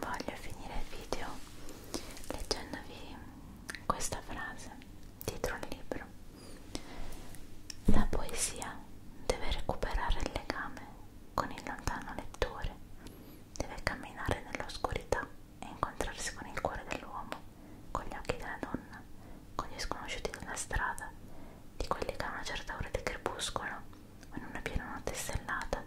Voglio finire il video leggendovi questa frase dietro il libro la poesia deve recuperare il legame con il lontano lettore, deve camminare nell'oscurità e incontrarsi con il cuore dell'uomo, con gli occhi della donna, con gli sconosciuti della strada, di quelli che a una certa ora di crepuscolo o in una piena notte stellata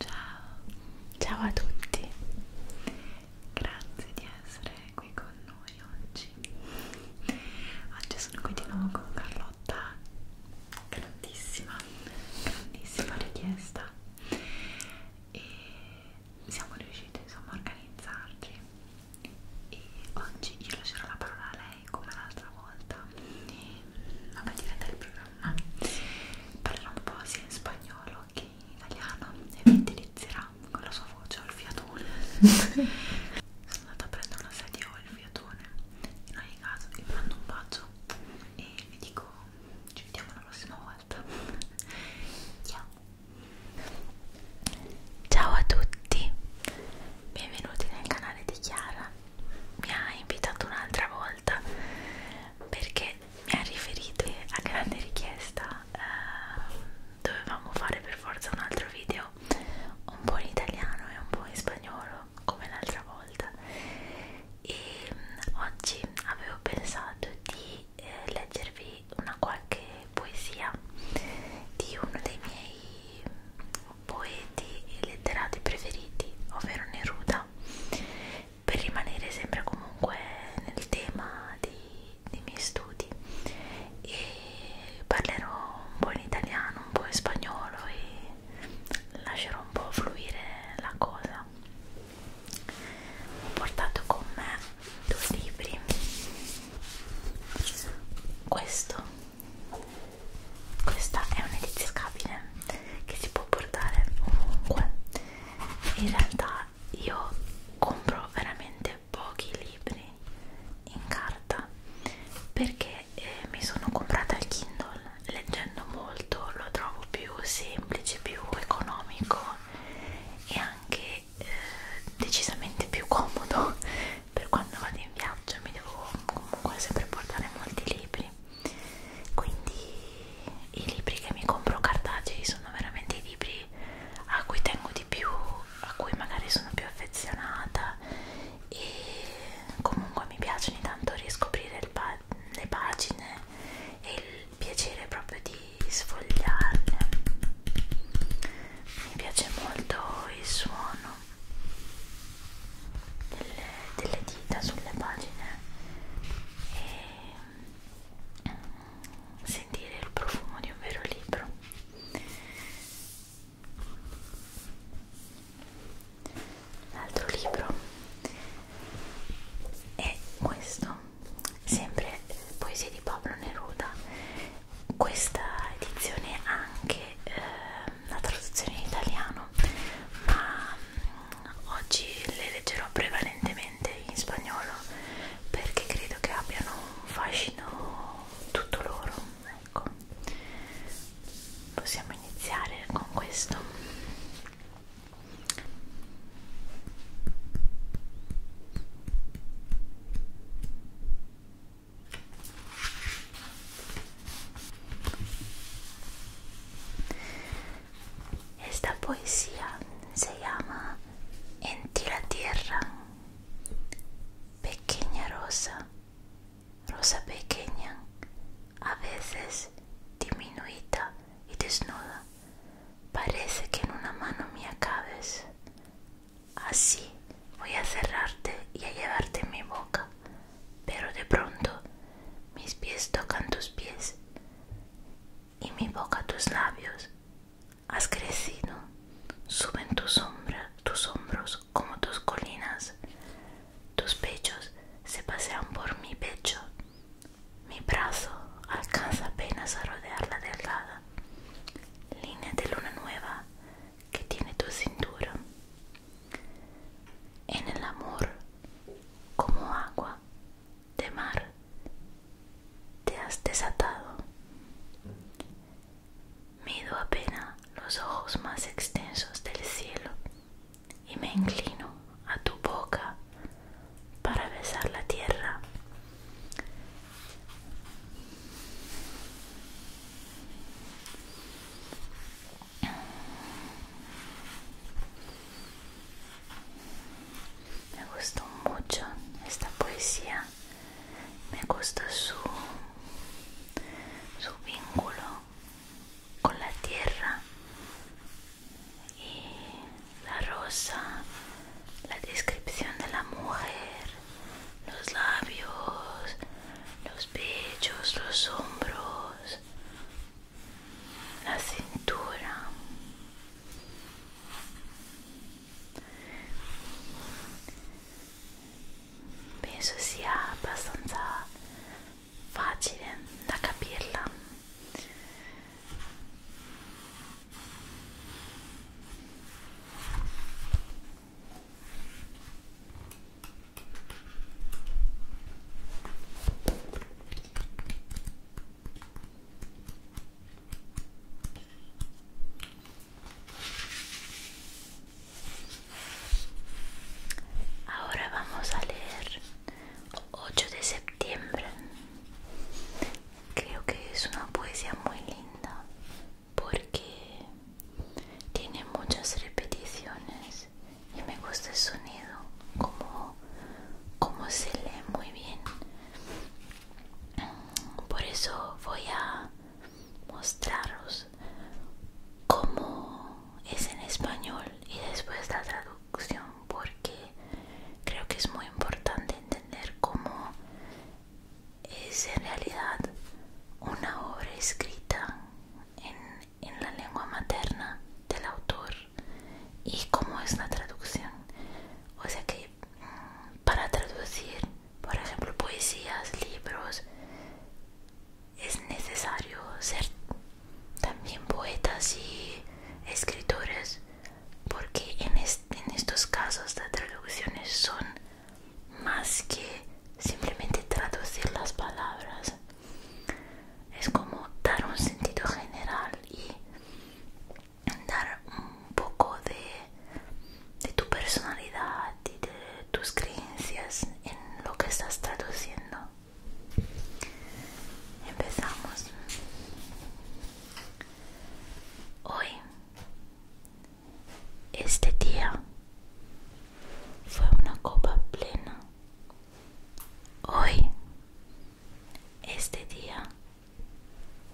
Ciao, ciao a tutti, grazie di essere qui con noi oggi. Oggi sono qui di nuovo con Carlotta, grandissima, grandissima richiesta e siamo riusciti insomma a organizzarci e oggi io lascerò la parola a lei direi come l'altra volta e, vabbè diretta il programma parlerà un po' sia in spagnolo che in italiano e vi indirizzerà con la sua voce Olfiatone sono andata a prendere una sedia Olfiatone in ogni caso vi mando un bacio e vi dico ci vediamo la prossima volta ciao ciao a tutti benvenuti nel canale di Chiara mi ha invitato un'altra volta perché mi ha riferito a grande richiesta eh, dovevamo fare per forza un altro video un po' in italiano e un po' in spagnolo come l'altra volta e mm, oggi avevo pensato di eh, leggervi una qualche poesia di uno dei miei poeti e letterati preferiti, ovvero Neruda, per rimanere sempre comunque nel tema di, dei miei studi e parlerò un po' in italiano, un po' in spagnolo e lascerò un po' fluire la cosa. Ho portato con me due libri. Questo questa è un'edizia scabile che si può portare ovunque in realtà io compro veramente pochi libri in carta perché eh, mi sono comprata il Kindle leggendo molto lo trovo più semplice più economico e anche eh, decisamente più comodo per quando vado in viaggio mi devo comunque sempre portare molti libri quindi i libri che mi compro cartacei sono veramente i libri a cui tengo di più a cui magari sono più affezionata e comunque mi piace ogni tanto riscoprire pa le pagine e il piacere proprio di sfogliarle mi piace molto il suono delle, delle dita sulle pagine e mm, sentire il profumo di un vero libro l'altro libro è questo sempre poesie di Pablo Neruda questa edizione anche eh, la traduzione in italiano ma mh, mm, oggi le leggerò prevalentemente in spagnolo perché credo che abbiano un fascino tutto loro ecco possiamo iniziare con questo Esta poesía se llama En ti la tierra, pequeña rosa, rosa pequeña, a veces diminuida y desnuda. Parece que en una mano me acabes Así voy a cerrarte y a llevarte en mi boca, pero de pronto mis pies tocan tus pies y mi boca tus labios. Has crecido, suben tus hombros como tus colinas, tus pechos se pasean por mi pecho, mi brazo alcanza apenas a rodear la delgada línea de luna nueva que tiene tu cintura. En el amor, como agua de mar, te has desatado. Mido apenas los ojos más extensos del cielo y me inclino a tu boca para besar la tierra me gustó mucho esta poesía, me gustó su, su vínculo con la tierra y la rosa la descripción de la mujer, los labios, los pechos, los hombros, la cintura. Pienso sia bastante fácil de capirla Ahora vamos a leer 8 de septiembre. Creo que es una poesía muy linda porque tiene muchas repeticiones y me gusta el sonido como, como se lee muy bien por eso voy a mostraros cómo es en español y después la traducción porque creo que es muy importante entender cómo es en realidad una obra escrita en, la lengua materna del autor y cómo es la traducción. O sea que mm, para traducir, por ejemplo, poesías, libros, es necesario ser también poetas y escritores porque en, estos casos las traducciones son más que simplemente traducir las palabras es como dar un sentido general y dar un poco de, de tu personalidad y de tus creencias en lo que estás traduciendo empezamos hoy este día fue una copa plena. Hoy, este día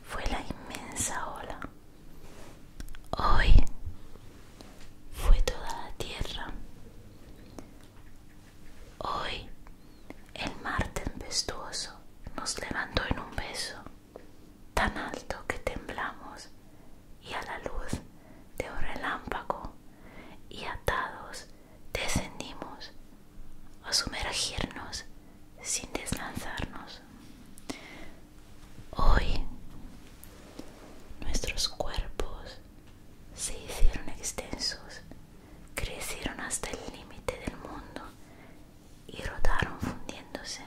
fue la inmensa ola. Hoy fue toda la tierra. Hoy el mar tempestuoso nos levantó en un beso tan alto que temblamos y a la luz de un relámpago y atados descendimos a sumergirnos sin deslanzarnos. Hoy nuestros cuerpos se hicieron extensos, crecieron hasta el límite del mundo y rotaron fundiéndose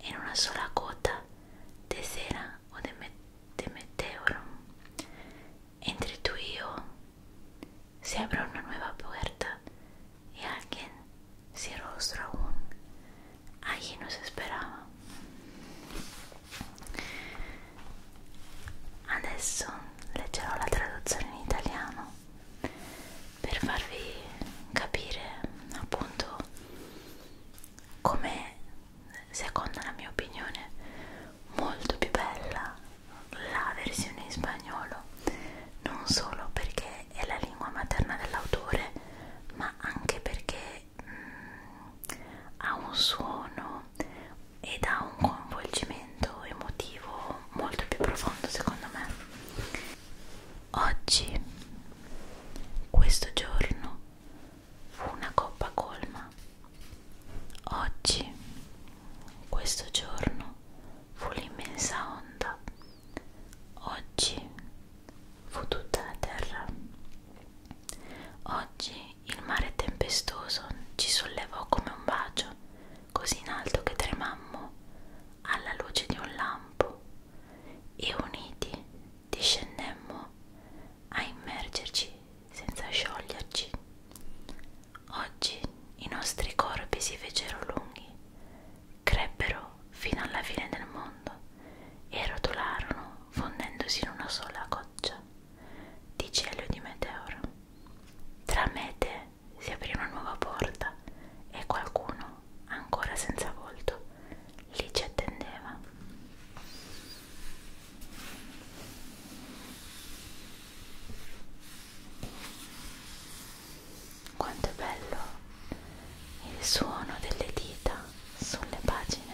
en una sola cota de cera o de, meteoro. Entre tú y yo se abre una nueva puerta y alguien se rostro aún. Allí nos esperaba. Adesso leggerò la traducción en italiano per farvi capire appunto come secondo la mia opinione molto più bella la versione in spagnolo non solo perché è la lingua materna dell'autore ma anche perché mh, mm, ha un suono ed ha un coinvolgimento approfondimento emotivo molto più profondo secondo me oggi questo giorno fu una coppa colma oggi questo giorno fu l'immensa onda oggi fu tutta la terra oggi il mare tempestoso ci sollevò come un bacio così in alto che tremammo alla luce di un lampo e uniti discendemmo a immergerci senza scioglierci. Oggi i nostri corpi si fecero lunghi, crebbero fino alla fine del mondo e rotolarono fondendosi in una sola goccia di cielo di meteoro. Tra mete si aprì una nuova porta e qualcuno, ancora senza volto, lì ci attendeva. Quanto è bello il suono delle dita sulle pagine.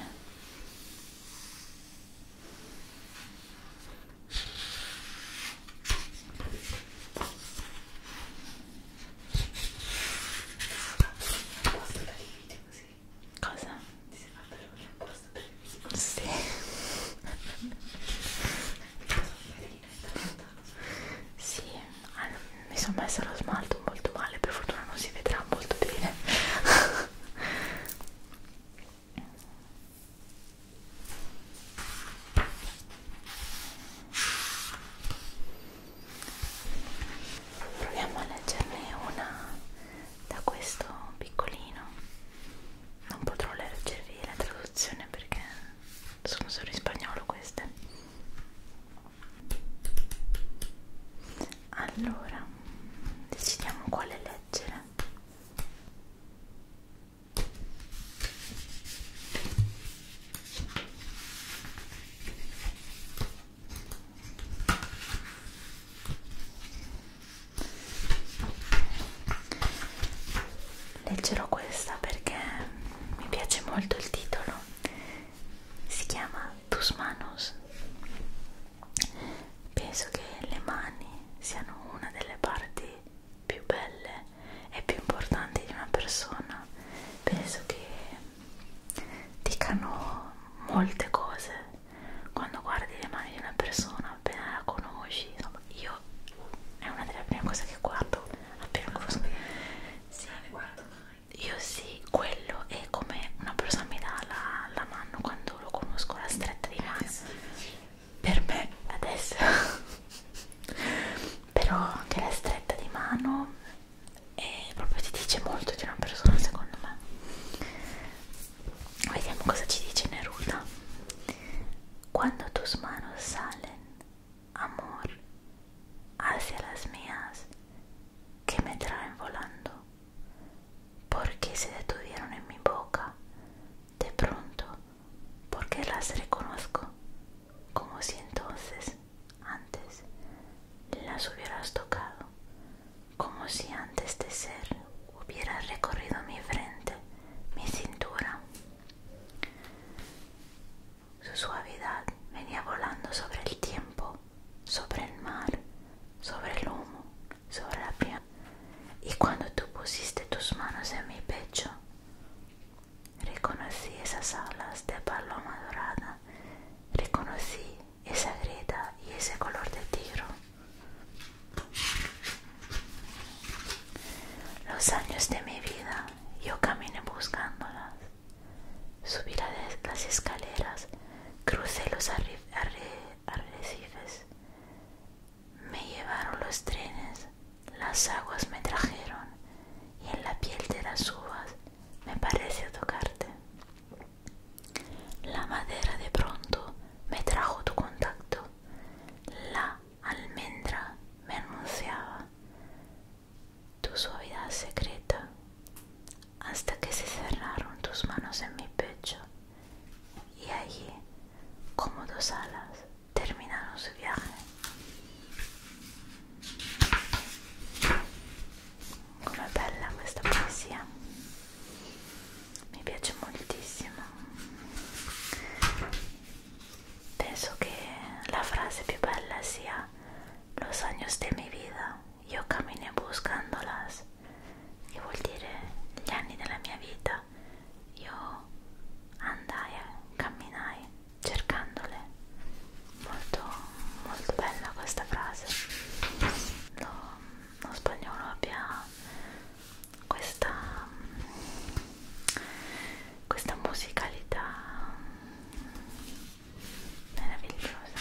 Apposta per i video così. Cosa? Ti sei fatta l'unica apposta per i video così. Sì. sì, allora, ah, mi sono messa lo smalto molto male, per fortuna non si vedrà molto bene. Proviamo a leggerne una da questo piccolino. Non potrò leggervi la traduzione perché sono solo in spagnolo queste. Allora, decidiamo quale leggere. Leggerò questa perché mi piace molto il titolo. Si chiama Tus manos. Penso che le mani siano una delle parti più belle e più importanti di una persona penso che dicano molte cose quando guardi le mani di una persona appena la conosci insomma io è una delle prime cose che guardo appena conosco sì, non le guardo mai io sì quello è come una persona mi dà la, la mano quando lo conosco la stretta di eh, mano per me adesso però anche la stretta di mano e proprio ti dice molto di una persona secondo me vediamo cosa ci dice Neruda cuando tus manos salen amor hacia las mías que me traen volando porque se detuvieron en mi boca de pronto porque las reconozco como si entonces antes las hubieras tocado, como si antes de ser hubieras recorrido mi frente, mi cintura. Su suavidad venía volando sobre el tiempo, sobre el mar, sobre el humo, sobre la Y cuando tú pusiste tus manos en mi pecho, reconocí esas alas de paloma dorada, reconocí esa grieta y ese color de tiro. Los años de mi vida yo caminé buscándolas. Subí las escaleras, crucé los arrecifes, me llevaron los trenes, las aguas me trajeron y en la piel de las uvas me pareció tocarte. La madera de pronto me trajo tu contacto, la almendra me anunciaba tu suavidad secreta hasta que se cerraron tus manos en mi pecho y allí como dos alas terminaron su viaje. Qué bella esta poesía me piace moltissimo. Penso que la frase más bella sia Los años de mi vida, yo caminé buscándolas, y vuol dire gli anni della mia vida. io andai e camminai cercandole molto molto bella questa frase lo, lo spagnolo abbia questa questa musicalità meravigliosa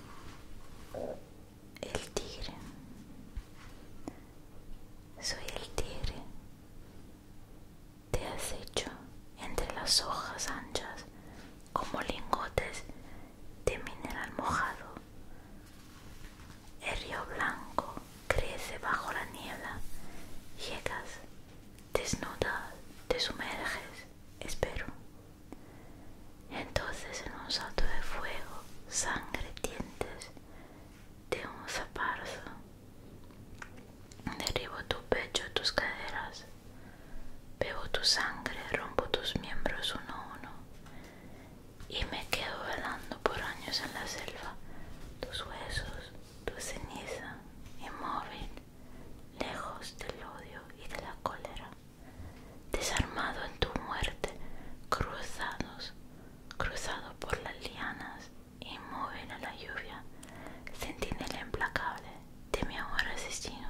el tigre. Soy el tigre. Te has hecho entre las hojas anchas como lingotes de mineral mojado. El río blanco crece bajo la niebla. Llegas, desnuda, te sumerges, espero. Entonces en un salto de fuego, sangre, dientes de un zaparzo, derribo tu pecho, tus caderas, bebo tu sangre, rompo tus miembros uno a uno y me quedo velando por años en la selva, tus huesos, tu ceniza, inmóvil, lejos del odio y de la cólera desarmado en tu muerte, cruzados, cruzado por las lianas, inmóvil a la lluvia, sentinela implacable de mi amor asesino.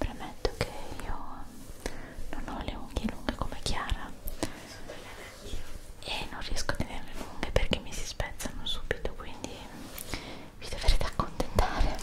Premetto che io non ho le unghie lunghe come Chiara e non riesco a tenerle lunghe perché mi si spezzano subito, quindi vi dovrete accontentare.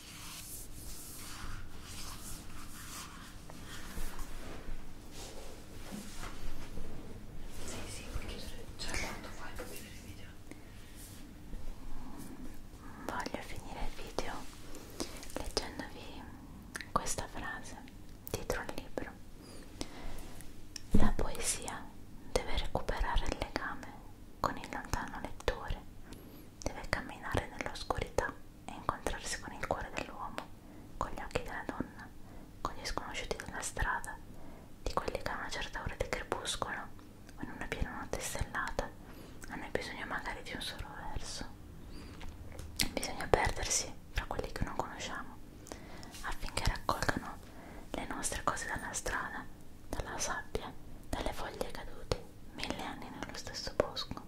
Sì, sì, puoi chiudere. Cioè, quanto fai per finire il video? Voglio finire il video leggendovi questa frase dietro al libro. La poesia deve recuperare il legame con il lontano lettore, deve camminare nell'oscurità e incontrarsi con il cuore dell'uomo, con gli occhi della donna, con gli sconosciuti della strada, di quelli che a una certa ora di crepuscolo o in una piena notte stellata hanno bisogno magari di un solo verso. Bisogna perdersi fra quelli che non conosciamo affinché raccolgano le nostre cose dalla strada, dalla sabbia, dalle foglie cadute mille anni nello stesso bosco.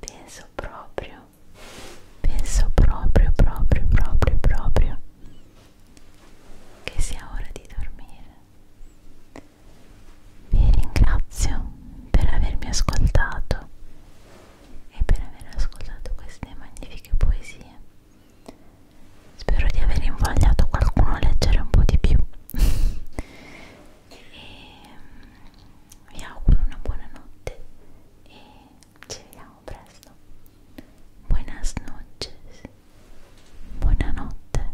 Penso proprio, penso proprio, proprio, proprio, proprio che sia ora di dormire. Vi ringrazio per avermi ascoltato e per aver ascoltato queste magnifiche poesie. Spero di aver invogliato qualcuno a leggere un po' di più. e mm, vi auguro una buona notte e ci vediamo presto. Buenas noches. Buonanotte.